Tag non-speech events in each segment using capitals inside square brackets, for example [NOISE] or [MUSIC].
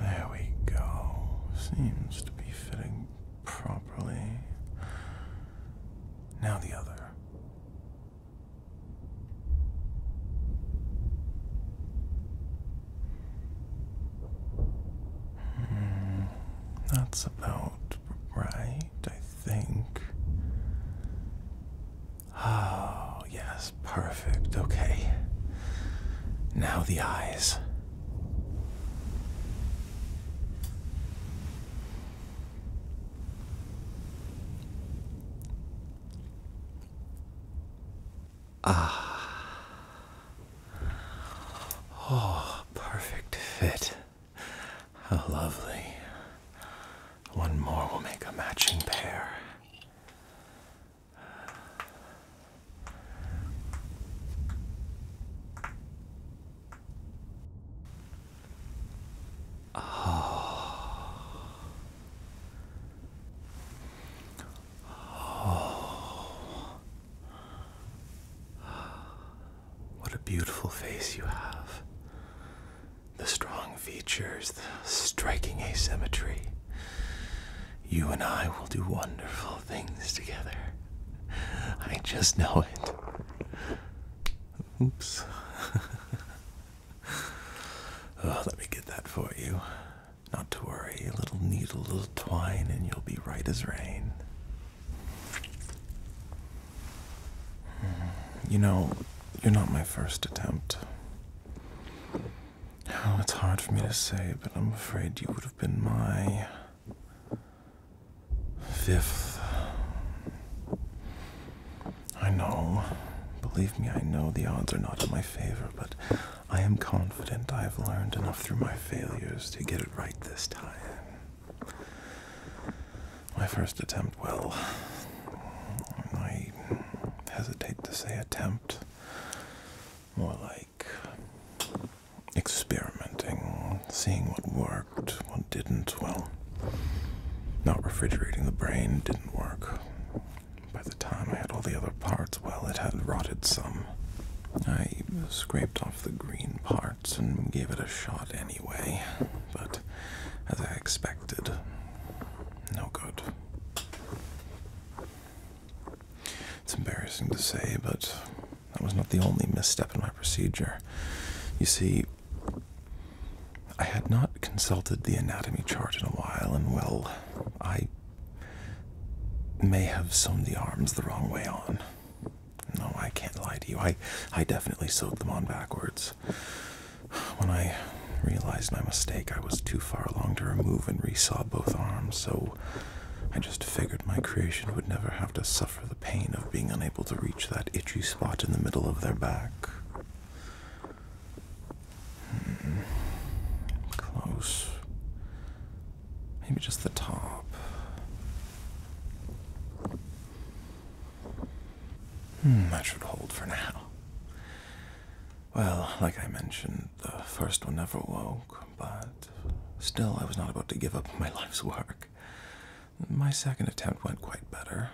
There we go. Seems to be fitting properly. Now the other. Hmm, that's about right, I think. Oh, yes, perfect. Okay. Now the eyes. Ah. Oh, perfect fit. How lovely. One more will make a matching pair. Ah. Ah. What a beautiful face you have the strong features, the striking asymmetry. You and I will do wonderful things together. I just know it. Oops. [LAUGHS] oh, let me get that for you. Not to worry, a little needle, a little twine, and you'll be right as rain. Hmm. You know, you're not my first attempt it's hard for me to say, but I'm afraid you would have been my fifth. I know. Believe me, I know the odds are not in my favor, but I am confident I have learned enough through my failures to get it right this time. My first attempt attempt, um, well, I hesitate to say attempt, more like experimenting, seeing what worked, what didn't. Well, not refrigerating the brain didn't work. By the time I had all the other parts, well, it had rotted some. I scraped off the green parts and gave it a shot anyway, but as I expected, no good. It's embarrassing to say, but that was not the only misstep in my procedure. You see, I had not consulted the anatomy chart in a while, and well, I may have sewn the arms the wrong way on. No, I can't lie to you. I, I definitely sewed them on backwards. When I realized my mistake, I was too far along to remove and resaw both arms, so I just figured my creation would never have to suffer the pain of being unable to reach that itchy spot in the middle of their back. Hmm. Close. Maybe just the top. Hmm, that should hold for now. Well, like I mentioned, the first one never woke, but still I was not about to give up my [LAUGHS] life's work. My second attempt went quite better.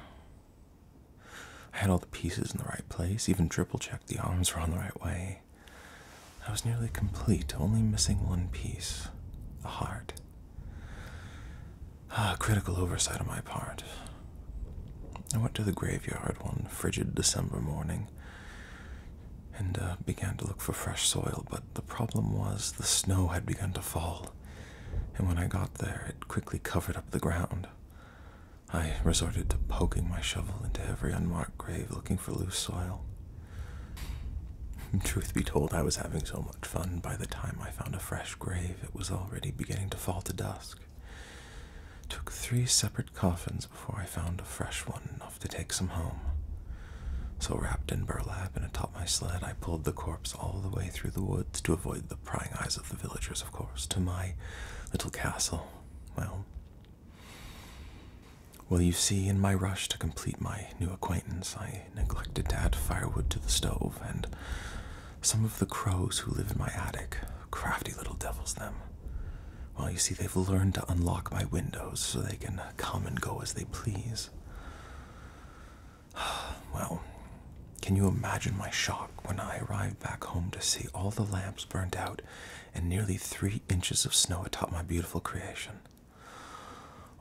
I had all the pieces in the right place, even triple checked the arms were on the right way. I was nearly complete, only missing one piece the heart. Ah, critical oversight on my part. I went to the graveyard one frigid December morning and uh, began to look for fresh soil, but the problem was the snow had begun to fall, and when I got there, it quickly covered up the ground. I resorted to poking my shovel into every unmarked grave looking for loose soil. [LAUGHS] Truth be told, I was having so much much fun, by the time I found a fresh grave, it was already beginning to fall to dusk. took three separate coffins before I found a fresh one enough to take some home. So, wrapped in burlap and atop my sled, I pulled the corpse all the way through the woods to avoid the prying eyes of the villagers, of course, to my little castle. Well, well, you see, in my rush to complete my new acquaintance, I I neglected to add firewood to the stove, and some of the crows who live in my attic, crafty little devils, them. Well, you see, they've learned to unlock my windows so they can come and go as they please. [SIGHS] Well, can you imagine my shock when I arrived back home to see all the lamps burnt out and nearly three inches of snow atop my beautiful creation?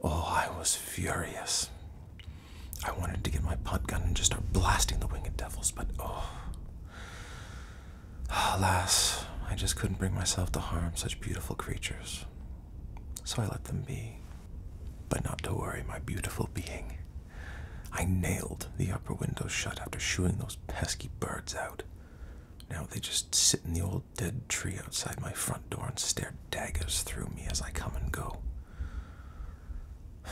Oh, I was furious. I wanted to get my punt gun and just start blasting the winged devils, but oh. Alas, I just couldn't bring myself to harm such beautiful creatures. So I let them be. But not to worry, my beautiful being. I nailed the upper window shut after shooing those pesky birds out. Now they just sit in the old dead tree outside my front door and stare daggers through me as I come and go. [SIGHS]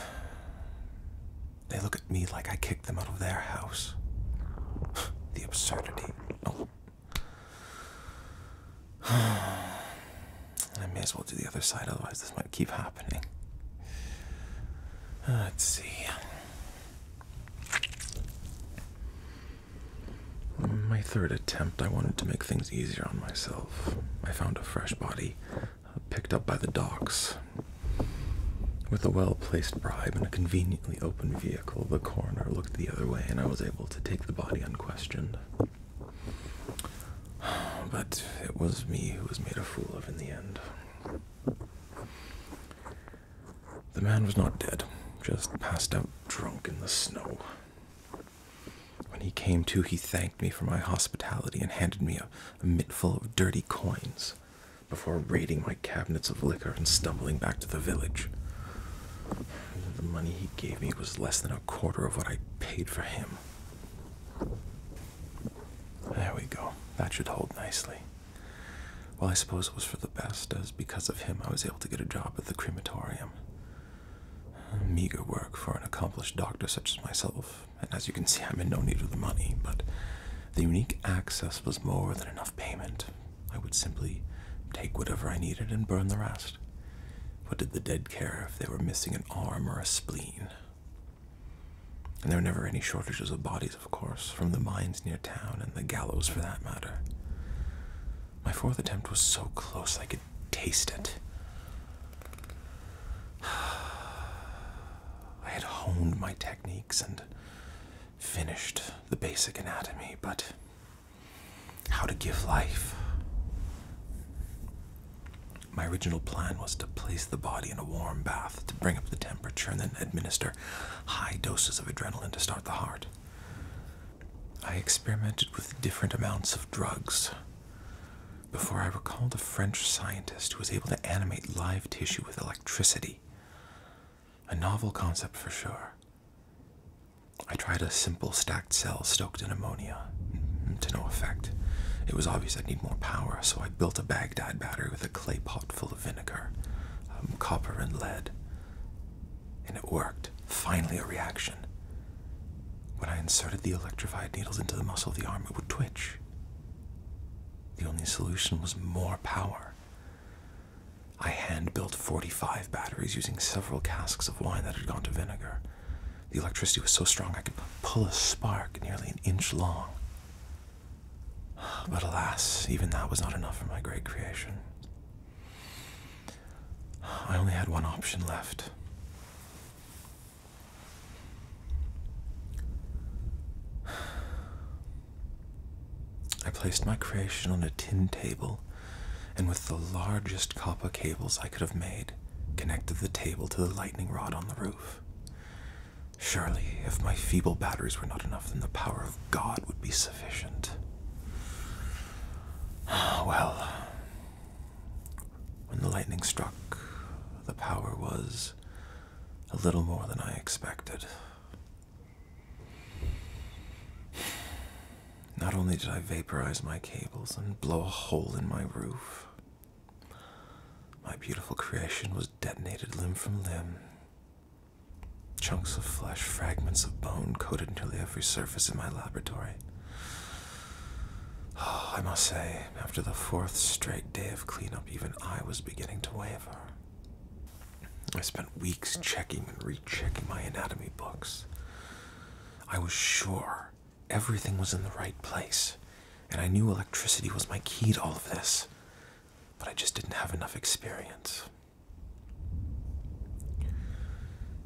They look at me like I kicked them out of their house. [SIGHS] The absurdity. Oh. [SIGHS] I may as well do the other side, otherwise, this might keep happening. Let's see. My third attempt, I wanted to make things easier on myself. I found a fresh body picked up by the docks. With a well placed bribe and a conveniently open vehicle, the coroner looked the other way and I was able to take the body unquestioned. [SIGHS] But it was me who was made a fool of in the end. The man was not dead, just passed out drunk in the snow. When he came to, he thanked me for my hospitality and handed me a, a mittful of dirty coins before raiding my cabinets of liquor and stumbling back to the village. The money he gave me was less than a quarter of what I paid for him. There we go. That should hold nicely. Well, I suppose it was for the best, as because of him I was able to get a job at the crematorium meager work for an accomplished doctor such as myself, and as you can see, I'm in no need of the money, but the unique access was more than enough payment. I would simply take whatever I needed and burn the rest. What did the dead care if they were missing an arm or a spleen? And there were never any shortages of bodies, of course, from the mines near town and the gallows for that matter. My fourth attempt was so close I could taste it. [SIGHS] I had honed my techniques and finished the basic anatomy, but how to give life. My original plan was to place the body in a warm bath to bring up the temperature and then administer high doses of adrenaline to start the heart. I experimented with different amounts of drugs before I recalled a French scientist who was able to animate live tissue with electricity. A novel concept for sure. I tried a simple stacked cell stoked in ammonia, mm, to no effect. It was obvious I'd need more power, so I built a Baghdad battery with a clay pot full of vinegar, um, copper, and lead. And it worked. Finally, a reaction. When I inserted the electrified needles into the muscle of the arm, it would twitch. The only solution was more power. I hand built 45 batteries using several casks of wine that had gone to vinegar. The electricity was so strong I could pull a spark nearly an inch long. But alas, even that was not enough for my great creation. I only had one option left. I placed my creation on a tin table and, with the largest copper cables I could have made, connected the table to the lightning rod on the roof. Surely, if my feeble batteries were not enough, then the power of God would be sufficient. [SIGHS] Well, when the lightning struck, the power was a little more than I expected. Not only did I vaporize my cables and blow a hole in my roof, my beautiful creation was detonated limb from limb, Chunks of flesh, fragments of bone coated nearly every surface in my laboratory. [SIGHS] I must say, after the fourth straight day of cleanup, even I was beginning to waver. I spent weeks checking and rechecking my anatomy books. I was sure everything was in the right place, and I knew electricity was my key to all of this, but I just didn't have enough experience.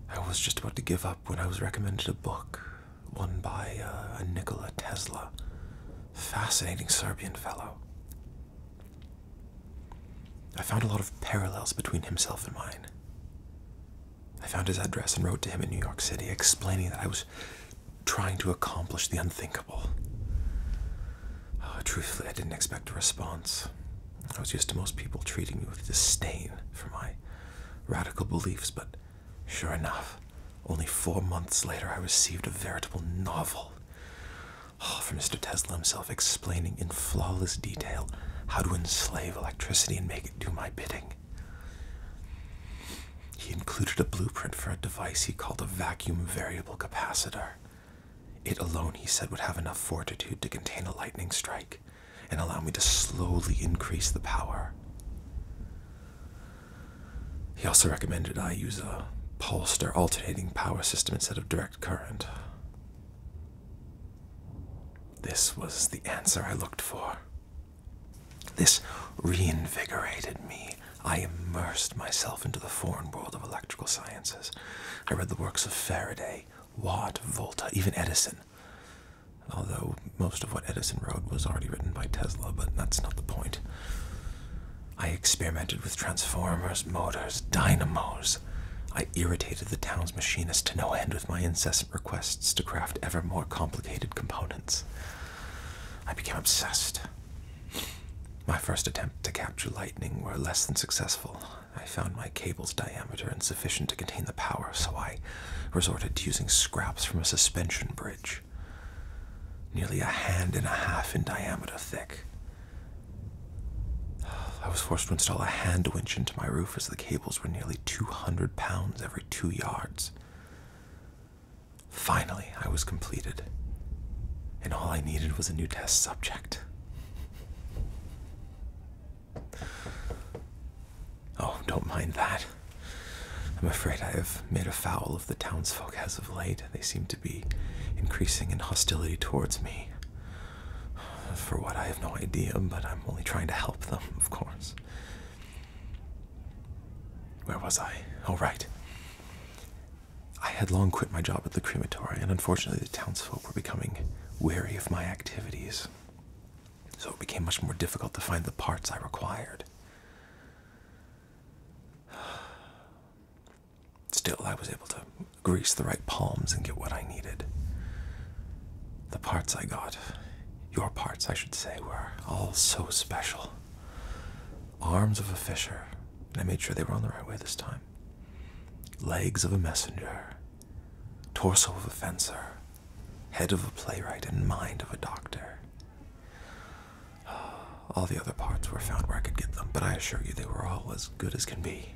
I was just about to give up when I was recommended a book, one by uh, a Nikola Tesla. Fascinating Serbian fellow. I found a lot of parallels between himself and mine. I found his address and wrote to him in New York City, explaining that I was trying to accomplish the unthinkable. Oh, truthfully, I didn't expect a response. I was used to most people treating me with disdain for my radical beliefs, but sure enough, only four months later, I received a veritable novel oh, from Mr. Tesla himself explaining in flawless detail how to enslave electricity and make it do my bidding. He included a blueprint for a device he called a vacuum variable capacitor, it alone, he said, would have enough fortitude to contain a lightning strike and allow me to slowly increase the power. He also recommended I use a pulsed or alternating power system instead of direct current. This was the answer I looked for. This reinvigorated me. I immersed myself into the foreign world of electrical sciences. I read the works of Faraday, Watt, Volta, even Edison. Although most of what Edison wrote was already written by Tesla, but that's not the point. I experimented with transformers, motors, dynamos. I irritated the town's machinist to no end with my incessant requests to craft ever more complicated components. I became obsessed. My first attempt to capture lightning were less than successful. I found my cable's diameter insufficient to contain the power, so I resorted to using scraps from a suspension bridge, nearly a hand and a half in diameter thick. I was forced to install a hand winch into my roof as the cables were nearly 200 pounds every two yards. Finally, I was completed, and all I needed was a new test subject. Oh, don't mind that. I'm afraid I have made a foul of the townsfolk as of late. They seem to be increasing in hostility towards me. For what, I have no idea, but I'm only trying to help them, of course. Where was I? Oh, right. I had long quit my job at the crematory, and unfortunately, the townsfolk were becoming wary of my activities, so it became much more difficult to find the parts I required. [SIGHS] Still, I was able to grease the right palms and get what I needed. The parts I got, your parts, I should say, were all so special. Arms of a fisher. And I made sure they were on the right way this time. Legs of a messenger. Torso of a fencer. Head of a playwright and mind of a doctor. [SIGHS] All the other parts were found where I could get them, but I assure you they were all as good as can be.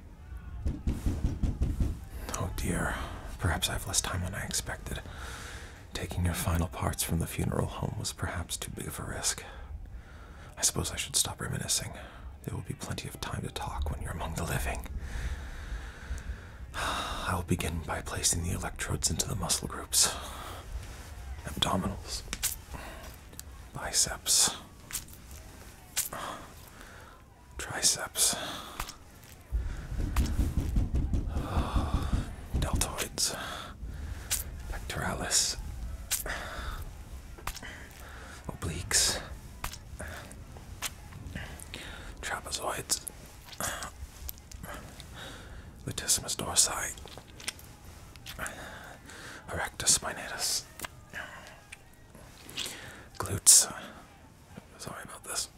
Oh dear, perhaps I have less time than I expected. Taking your final parts from the funeral home was perhaps too big of a risk. I suppose I should stop reminiscing. There will be plenty of time to talk when you're among the living. I [SIGHS] will begin by placing the electrodes into the muscle groups abdominals, biceps, triceps, [SIGHS] deltoids pectoralis, obliques, trapezoids, latissimus dorsi, erectus spinatus, glutes. Sorry about this.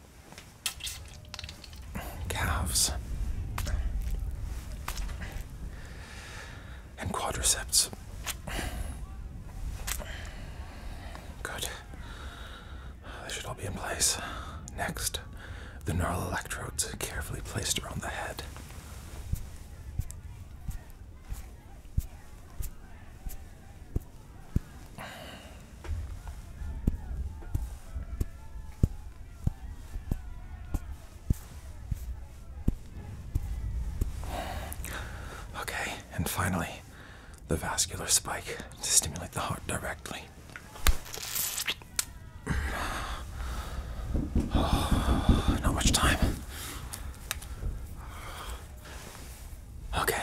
Calves, and quadriceps. Good. They should all be in place. Next, the neural electrodes carefully placed around the head. Okay, and finally, the vascular spike to stimulate the heart directly. [SIGHS] not much time. Okay.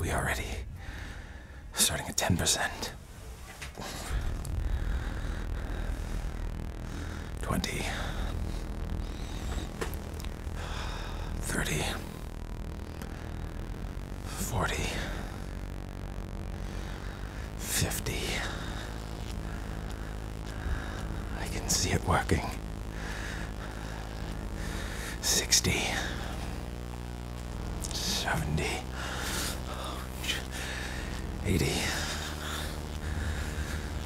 We are ready. Starting at 10%. 20, 30, 40, 50. I can see it working. 60. 70, 80.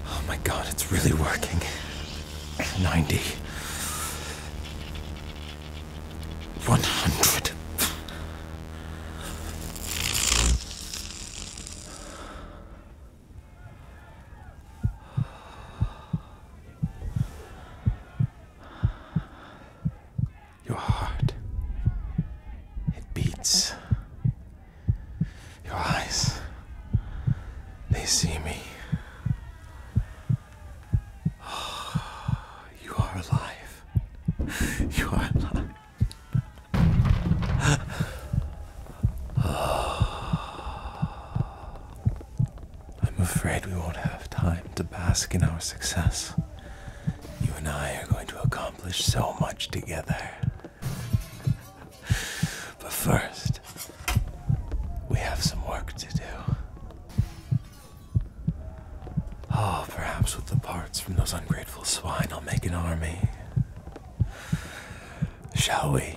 Oh my god, it's really working. 90. 100. Your heart, it beats. Your eyes, they see me. [SIGHS] you are alive. [LAUGHS] You are alive. [SIGHS] [SIGHS] I'm afraid we won't have time to bask in our success. You and I are going to accomplish so much together. but first, we have some work to do. Ah, perhaps with the parts from those ungrateful swine, I'll make an army. Shall we?